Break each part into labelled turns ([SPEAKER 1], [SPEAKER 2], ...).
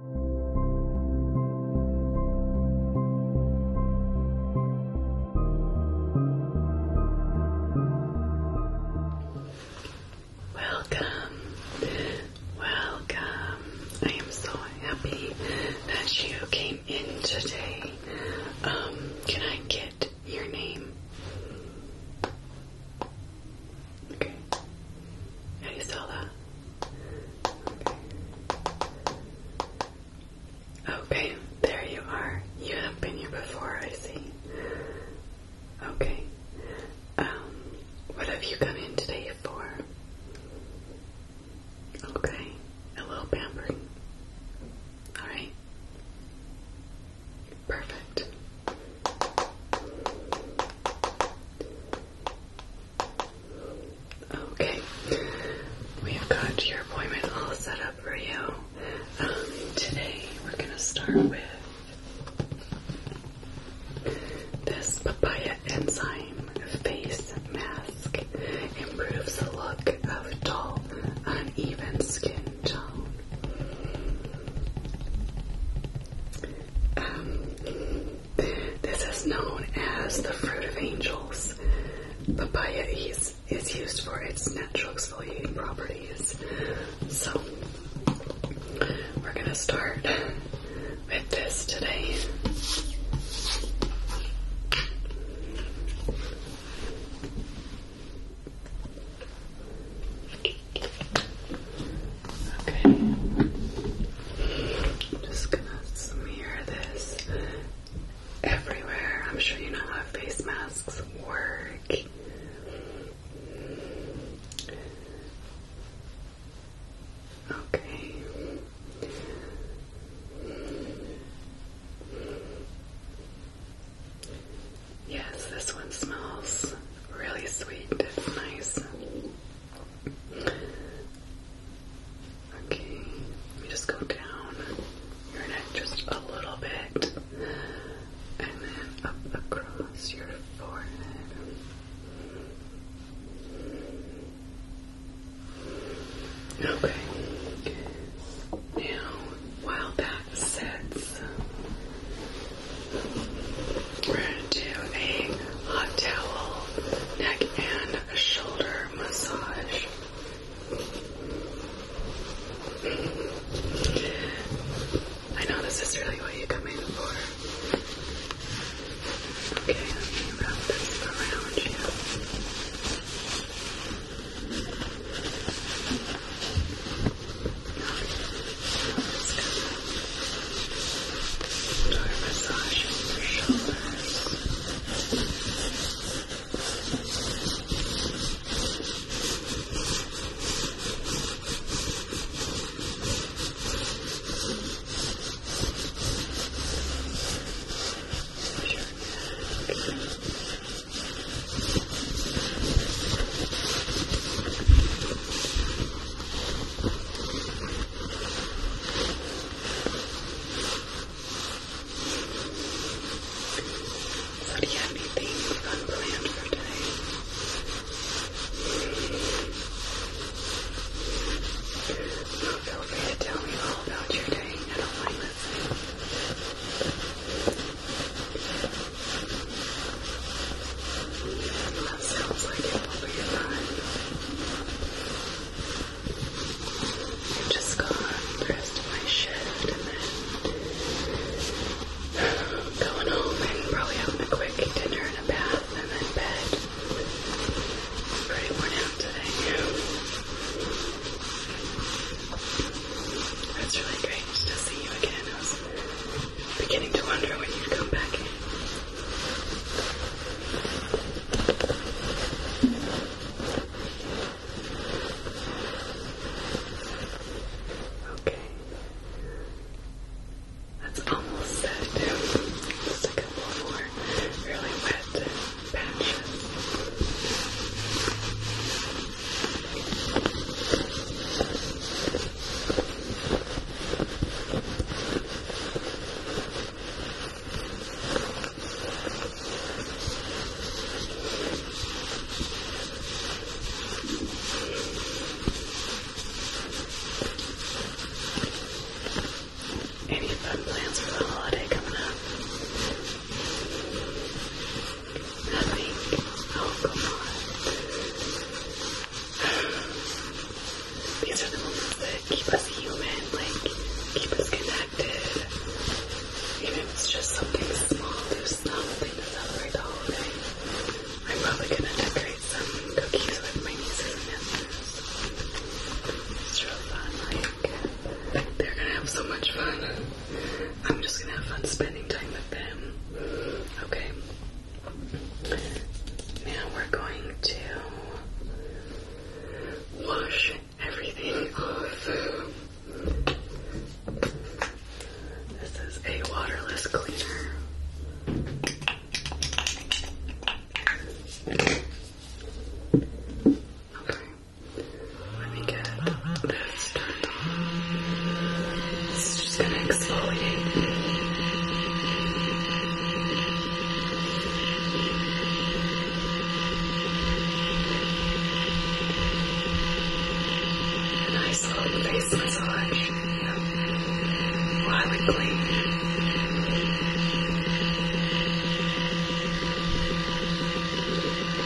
[SPEAKER 1] Welcome, welcome. I am so happy that you came in today. Um, can I get your name? Okay. How do Okay. there you are. You have been here before, I see. Okay. Um, what have you come in today for? Okay, a little pampering. Alright. Perfect. Okay, we've got your appointment all set up for you. Um, today we're gonna start with this papaya enzyme face mask. Improves the look of dull, uneven skin tone. Um, this is known as the fruit of angels. Papaya is, is used for its natural exfoliating properties. So, we're going to start with this today. Okay. I'm just gonna smear this everywhere. I'm sure you know how face masks work. Okay. Yes, this one smells really sweet. It's nice. Okay, let me just go down your neck just a little bit and then up across your forehead. Okay. Now, while that sets, we're going to do a hot towel neck and shoulder massage. I know this is really what you come for. Okay, let me wrap this around you. Start massaging your shoulders. Your neck. So do you have anything unplanned for today? feel free to tell me all about your day. I do that sounds like it will be fine. I just got the rest my shift and then going home and probably having a quick dinner and a bath and then bed. Pretty worn out today. That's really great to see you again beginning to wonder when you'd come back Okay. That's almost set Just a couple more really wet patches. Any fun plans for the holiday coming up? Nothing. Oh, come These are the moments that keep us human, like, keep us connected. Even if it's just something small, there's nothing to celebrate the holiday. I'm probably gonna decorate some cookies with my nieces and nephews. It's real fun, like, they're gonna have so much fun. I'm just gonna have fun spending time with them. Okay. Now we're going to wash everything off. This is a waterless cleaner. Okay. Let me get this turned on. It's just gonna exfoliate me. A nice little face massage. While we clean.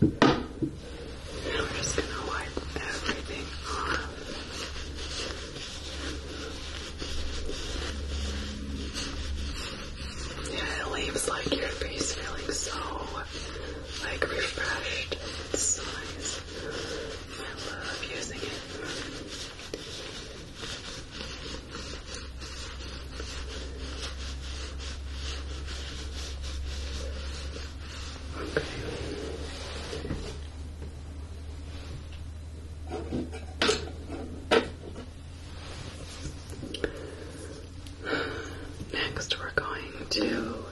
[SPEAKER 1] we're just gonna wipe everything off. Yeah, it leaves like your face feeling so like refreshed. so nice. I love using it. Next, we're going to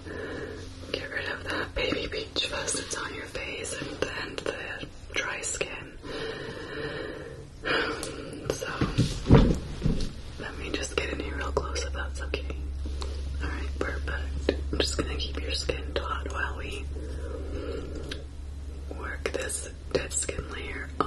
[SPEAKER 1] get rid of that baby peach fuzz that's on your face and then the dry skin. So, let me just get in here real close if that's okay. Alright, perfect. I'm just gonna keep your skin taut while we work this dead skin layer off.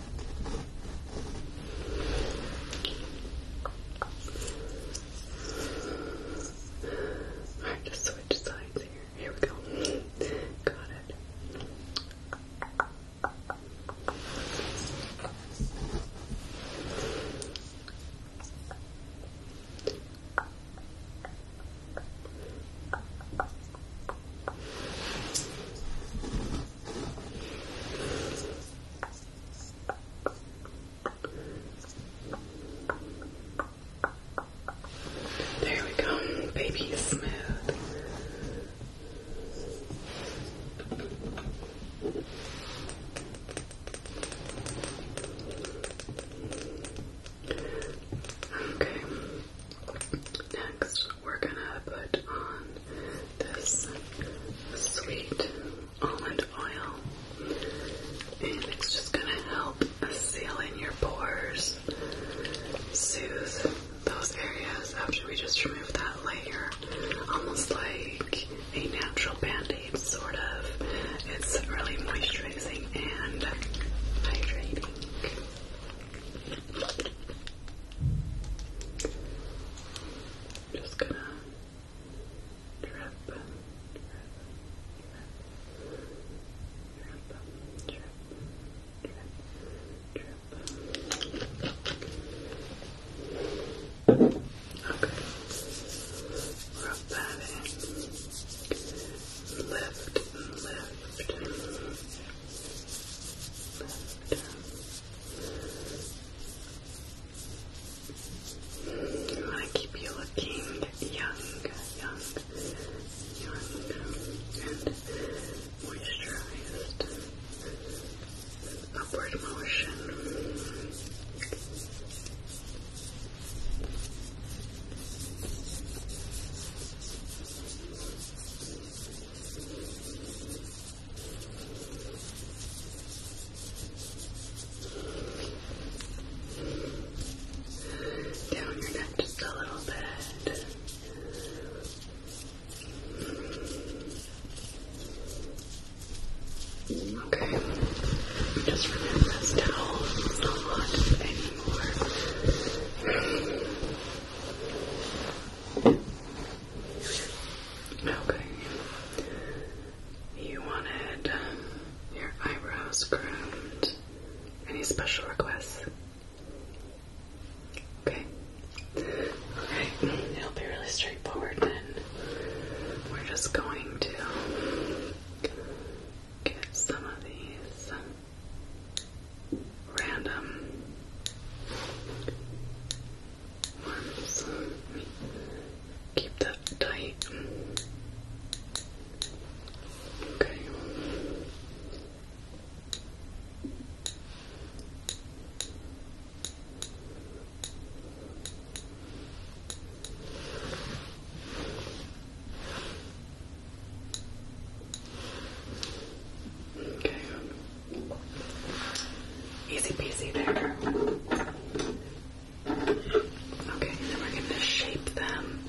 [SPEAKER 1] Alright, just switch sides here. Here we go. Got it. There we go. Baby is smooth. Okay. Next we're gonna put on this sweet almond oil, and it's just gonna help seal in your pores, soothe those areas after we just remove that layer, almost like a natural band-aid, sort of. It's really moisturizing and hydrating just gonna drip, drip, drip, drip, drip, drip, drip. Okay, rub that in. Lift, lift, lift. Lift, lift, you keep you looking young, young, young, and moisturized. Upward motion. Down your neck just a little bit. Okay, just remember this towel is not anymore. Okay. You wanted your eyebrows groomed. Any special requests? Okay. Alright, it'll be really straightforward then. We're just going to get some of these random ones. Keep that tight. Okay. Okay. Easy peasy there. Okay, then we're going to shape them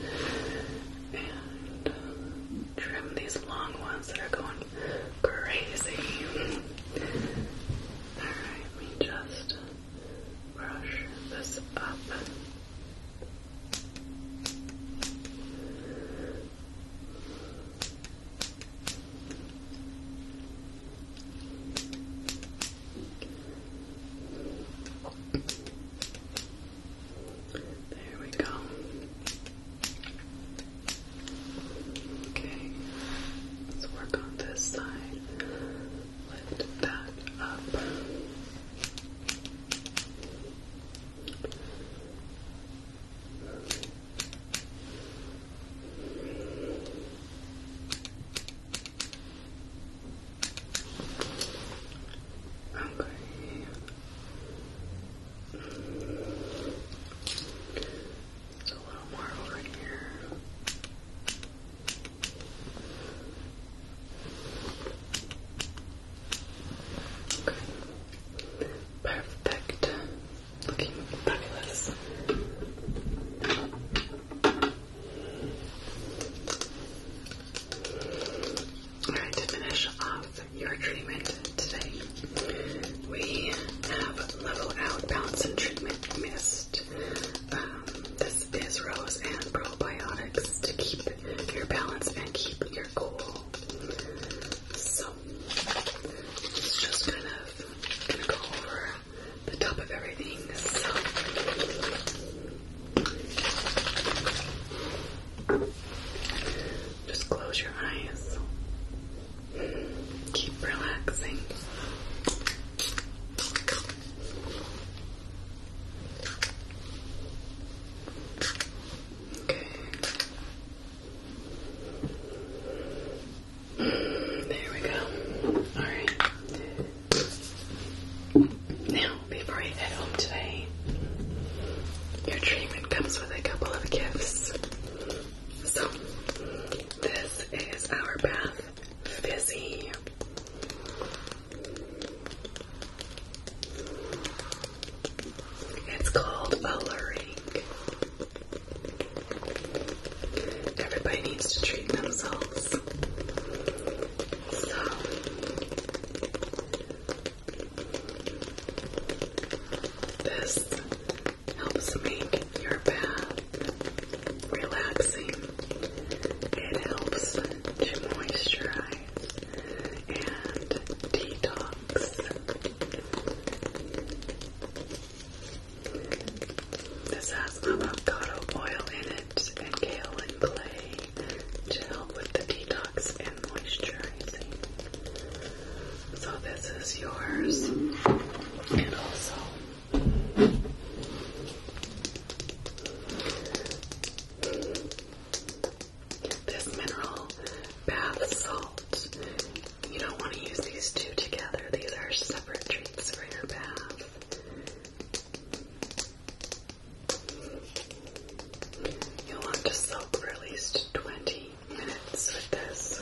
[SPEAKER 1] and trim these long ones that are going crazy. Alright, let just brush this up. There we go. Okay, let's work on this side. Lift that up. Okay. It's a little more over here. Okay. Perfect. Looking fabulous. Alright, to finish off your treatment today, we have Level Out balance and Treatment Mist. Um, this is Rose and Probiotics to keep your balance and keep your cool. So it's just kind of gonna go over the top of everything. So just close your eyes. Keep relaxing. Okay. There we go. Alright. Now, before you head home today, your treatment comes with a couple of gifts. So, this is our bath fizzy. It's called alluring. Everybody needs to treat themselves. So this helps make your bath relaxing. It helps to moisturize and detox. This has avocado oil in it and kaolin clay to help with the detox and moisturizing. So this is yours, and also this mineral bath salt. You don't want to use these two together. These are separate treats for your bath. You'll want to soak for at least 20 minutes with this.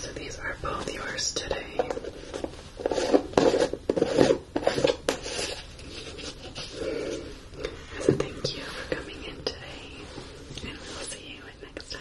[SPEAKER 1] So these are both yours today. As a thank you for coming in today, and we will see you next time.